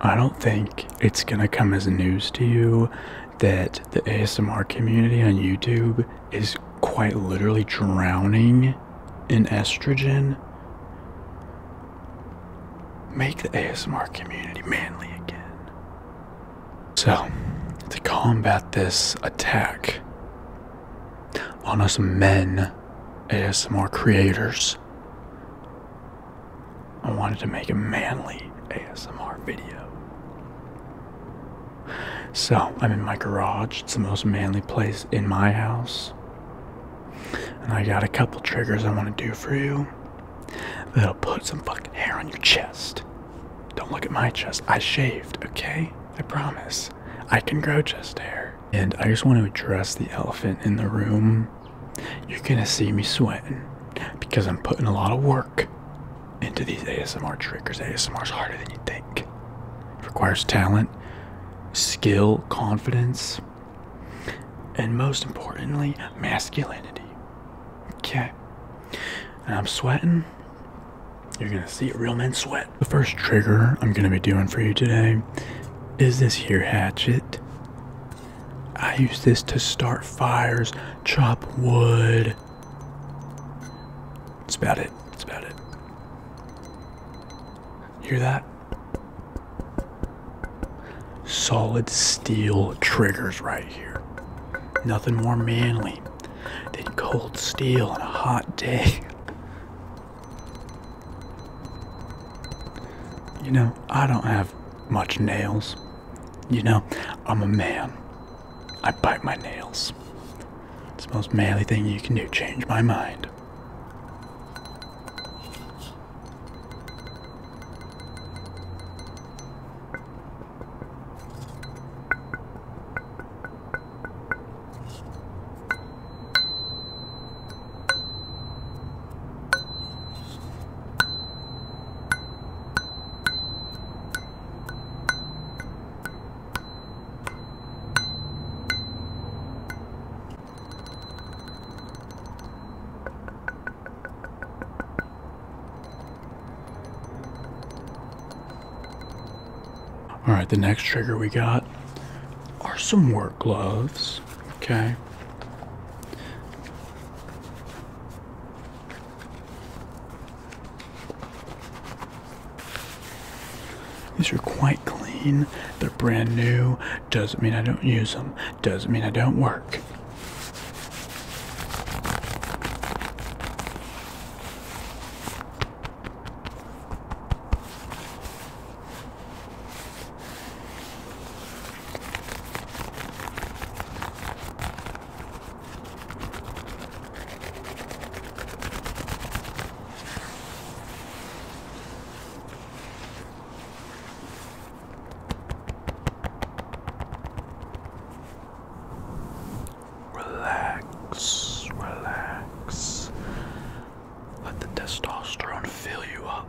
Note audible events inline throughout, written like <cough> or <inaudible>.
I don't think it's gonna come as news to you that the ASMR community on YouTube is quite literally drowning in estrogen. Make the ASMR community manly again. So, to combat this attack on us men, ASMR creators, I wanted to make a manly ASMR video. So I'm in my garage, it's the most manly place in my house. And I got a couple triggers I want to do for you that'll put some fucking hair on your chest. Don't look at my chest, I shaved, okay? I promise. I can grow chest hair. And I just want to address the elephant in the room you're gonna see me sweating because I'm putting a lot of work into these ASMR triggers. ASMR is harder than you think. It requires talent, skill, confidence, and most importantly, masculinity. Okay. And I'm sweating. You're gonna see real men sweat. The first trigger I'm gonna be doing for you today is this here hatchet. I use this to start fires, chop wood. That's about it. That's about it. Hear that? Solid steel triggers right here. Nothing more manly than cold steel on a hot day. You know, I don't have much nails. You know, I'm a man. I bite my nails. It's the most manly thing you can do. Change my mind. All right, the next trigger we got are some work gloves, okay? These are quite clean. They're brand new. Doesn't mean I don't use them. Doesn't mean I don't work. Relax, relax. Let the testosterone fill you up.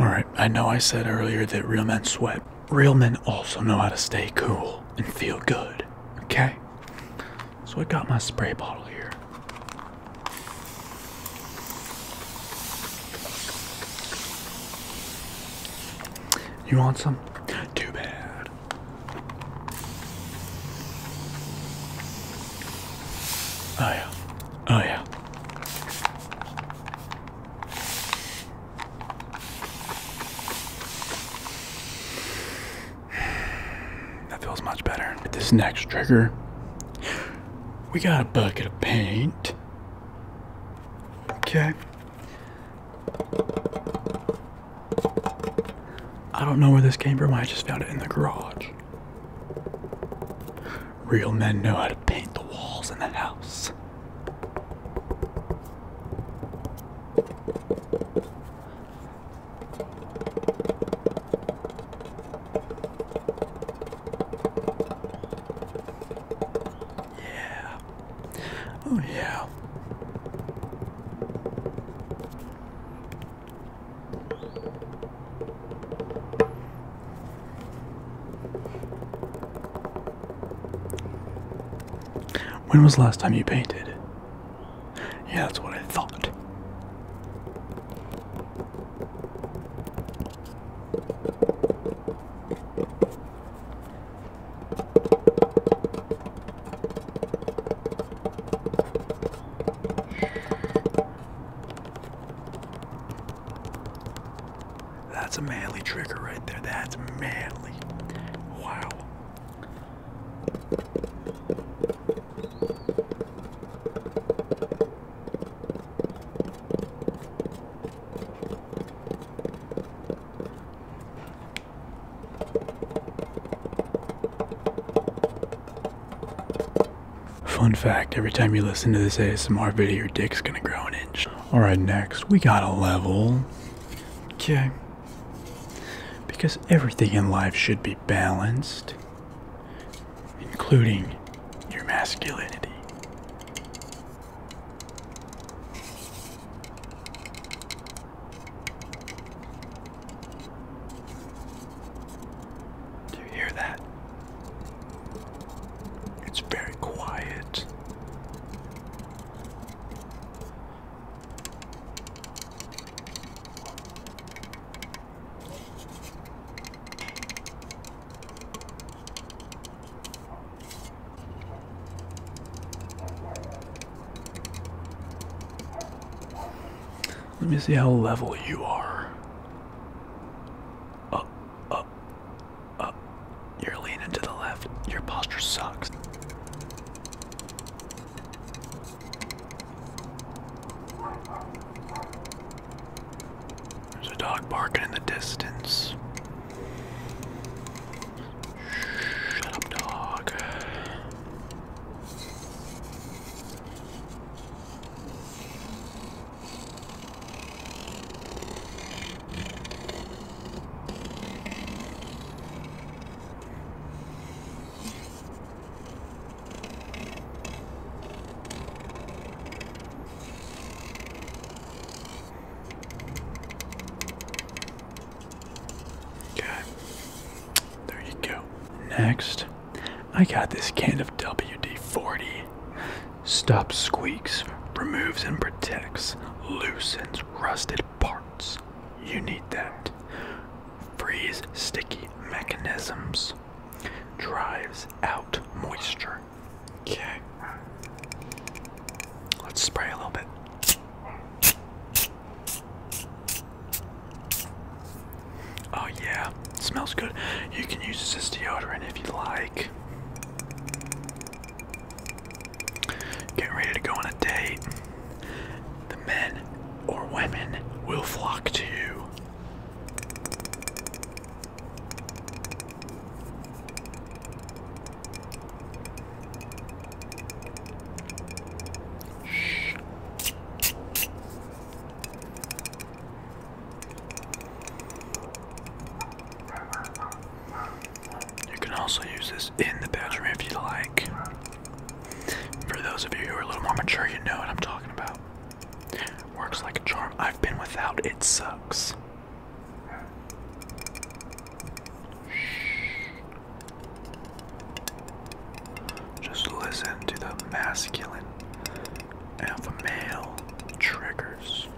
All right, I know I said earlier that real men sweat. Real men also know how to stay cool and feel good, okay? So I got my spray bottle here. You want some? Too bad. Oh yeah. Oh yeah. That feels much better. This next trigger, we got a bucket of paint. Okay. I don't know where this came from. I just found it in the garage. Real men know how to paint the walls in the house. Yeah. Oh, yeah. When was the last time you painted? Yeah, that's what I thought. That's a manly trigger right there. That's manly. Wow. Fun fact, every time you listen to this ASMR video, your dick's gonna grow an inch. Alright, next, we got a level. Okay. Because everything in life should be balanced, including your masculinity. Do you hear that? It's very quiet. Let me see how level you are. Up, up, up. You're leaning to the left. Your posture sucks. There's a dog barking in the distance. Shut up, dog. Okay. There you go. Next, I got this can of WD 40. Stops squeaks, removes and protects, loosens rusted parts. You need that. Freeze sticky mechanisms, drives out moisture, Okay. Let's spray a little bit. Oh yeah, smells good. You can use this as deodorant if you like. Getting ready to go on a date. The men or women will flock to you. You can also use this in the bedroom if you like. For those of you who are a little more mature, you know what I'm talking about. Works like a charm. I've been without, it sucks. Just listen to the masculine and male triggers.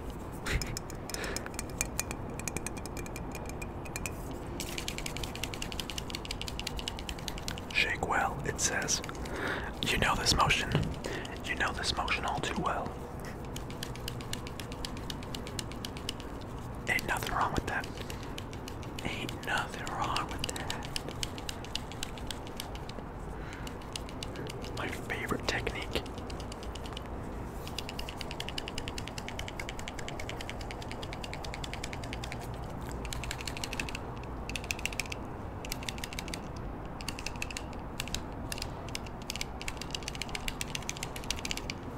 Shake well, it says. You know this motion. You know this motion all too well. Ain't nothing wrong with that. Ain't nothing wrong with that. My favorite technique.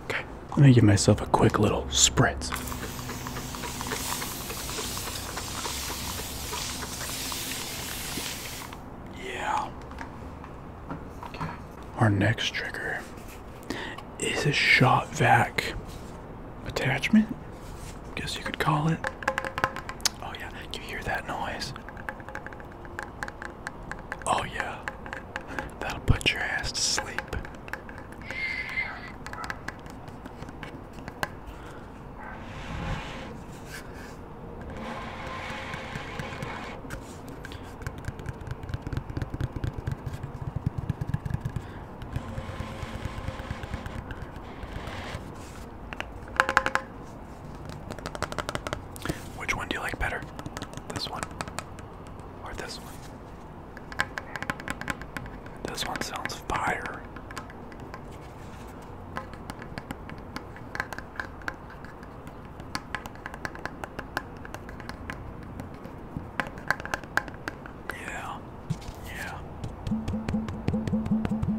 Okay, let me give myself a quick little spritz. Yeah. Our next trigger is a shot vac attachment, guess you could call it. Oh yeah, you hear that noise. Oh, yeah. That'll put your ass to sleep. Which one do you like better? This one or this one? This one sounds fire. Yeah. Yeah.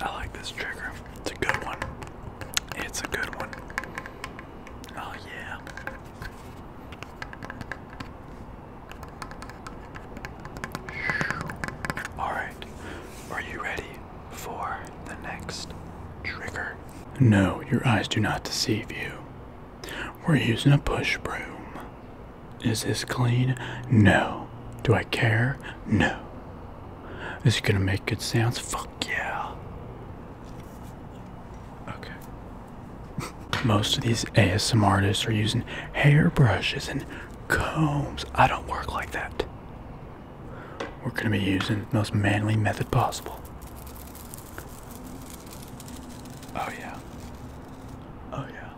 I like this trigger. It's a good one. It's a good one. Oh, yeah. Alright, are you ready for the next trigger? No, your eyes do not deceive you. We're using a push broom. Is this clean? No. Do I care? No. Is it gonna make good sounds? Fuck yeah. Okay. <laughs> Most of these ASM artists are using hair brushes and combs. I don't work like that. We're gonna be using the most manly method possible. Oh, yeah. Oh, yeah.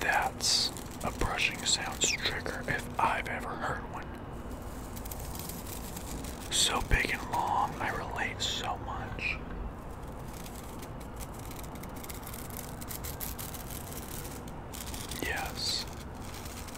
That's a brushing sounds trigger if I've ever heard one. So big and long, I relate so much. Yes.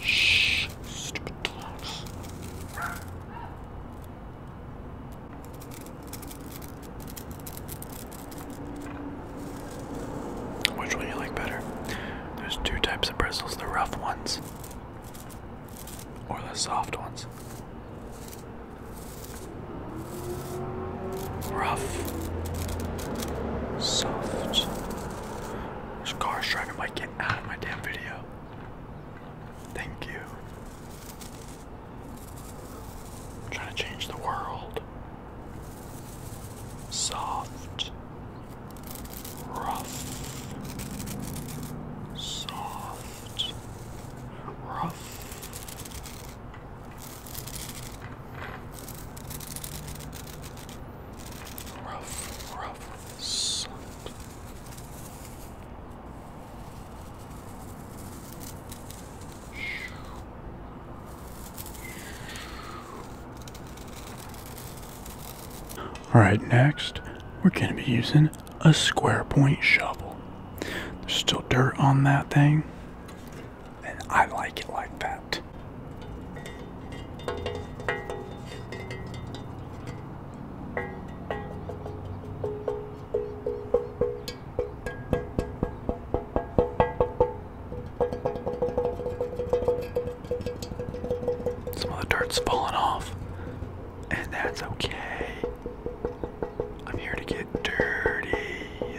Shh, stupid clowns. Which one you like better? There's two types of bristles the rough ones or the soft ones. Rough. Soft. This car's trying get out of my damn video. Thank you. trying to change the world. Soft. Rough. Soft. Rough. Rough, rough salt. Alright, next we're going to be using a square point shovel. There's still dirt on that thing, and I like it like that. Some of the dirt's falling off, and that's okay. I'm here to get dirty.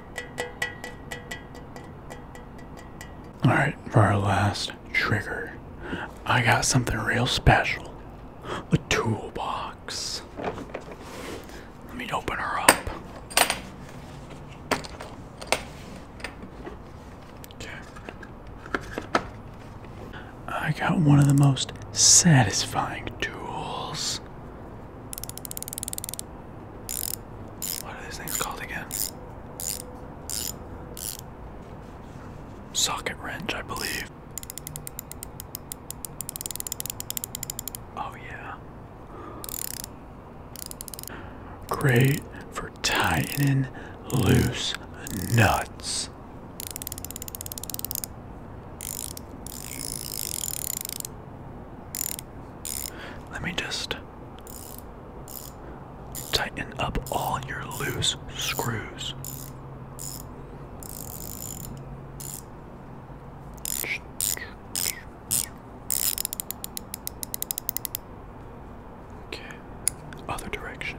Alright, for our last trigger, I got something real special a toolbox. Let me open her up. Okay. I got one of the most satisfying tools what are these things called again? Socket wrench, I believe. Oh, yeah. Great for tightening loose nuts. Let me just tighten up all your loose screws. Okay, other direction.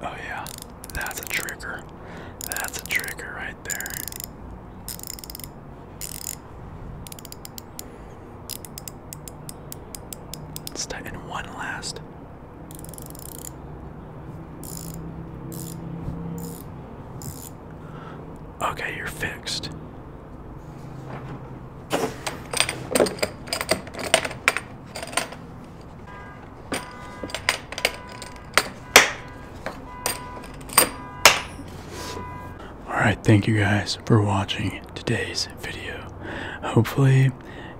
Oh, yeah, that's a trigger. That's a trigger right there. Let's tighten one last. Okay, you're fixed. Alright, thank you guys for watching today's video. Hopefully,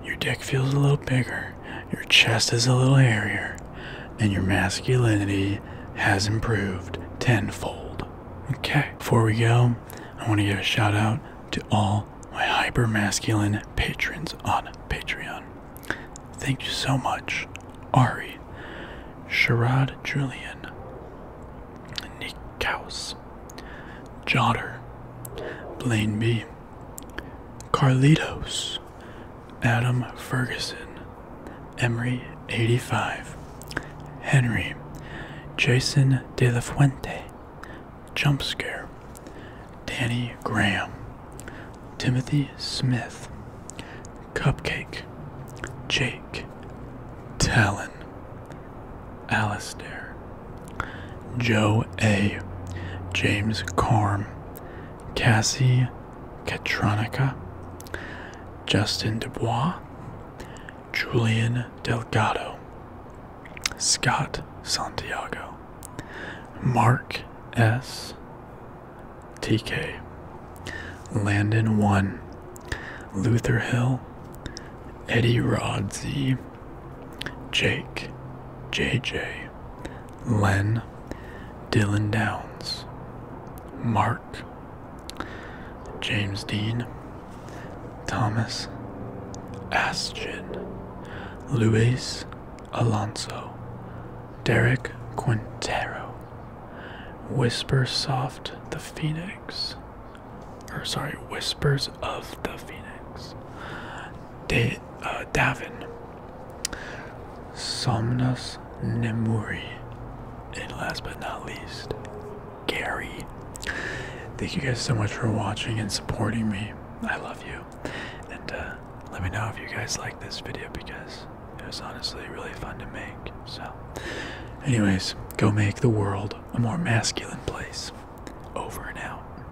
your dick feels a little bigger your chest is a little hairier, and your masculinity has improved tenfold. Okay, before we go, I want to give a shout out to all my hyper masculine patrons on Patreon. Thank you so much, Ari, Sharad Julian, Nick Kaus, Jotter, Blaine B, Carlitos, Adam Ferguson, Emery 85, Henry, Jason De La Fuente, Jump Danny Graham, Timothy Smith, Cupcake, Jake, Talon, Alastair. Joe A. James Carm, Cassie Katronica, Justin Dubois, Julian Delgado, Scott Santiago, Mark S. TK, Landon 1, Luther Hill, Eddie Rod Jake, JJ, Len, Dylan Downs, Mark, James Dean, Thomas, Astrid, Luis Alonso, Derek Quintero, Whisper Soft the Phoenix, or sorry, Whispers of the Phoenix, De, uh, Davin, Somnus Nemuri, and last but not least, Gary. Thank you guys so much for watching and supporting me. I love you. And uh, let me know if you guys like this video because it was honestly really fun to make. So, anyways, go make the world a more masculine place. Over and out.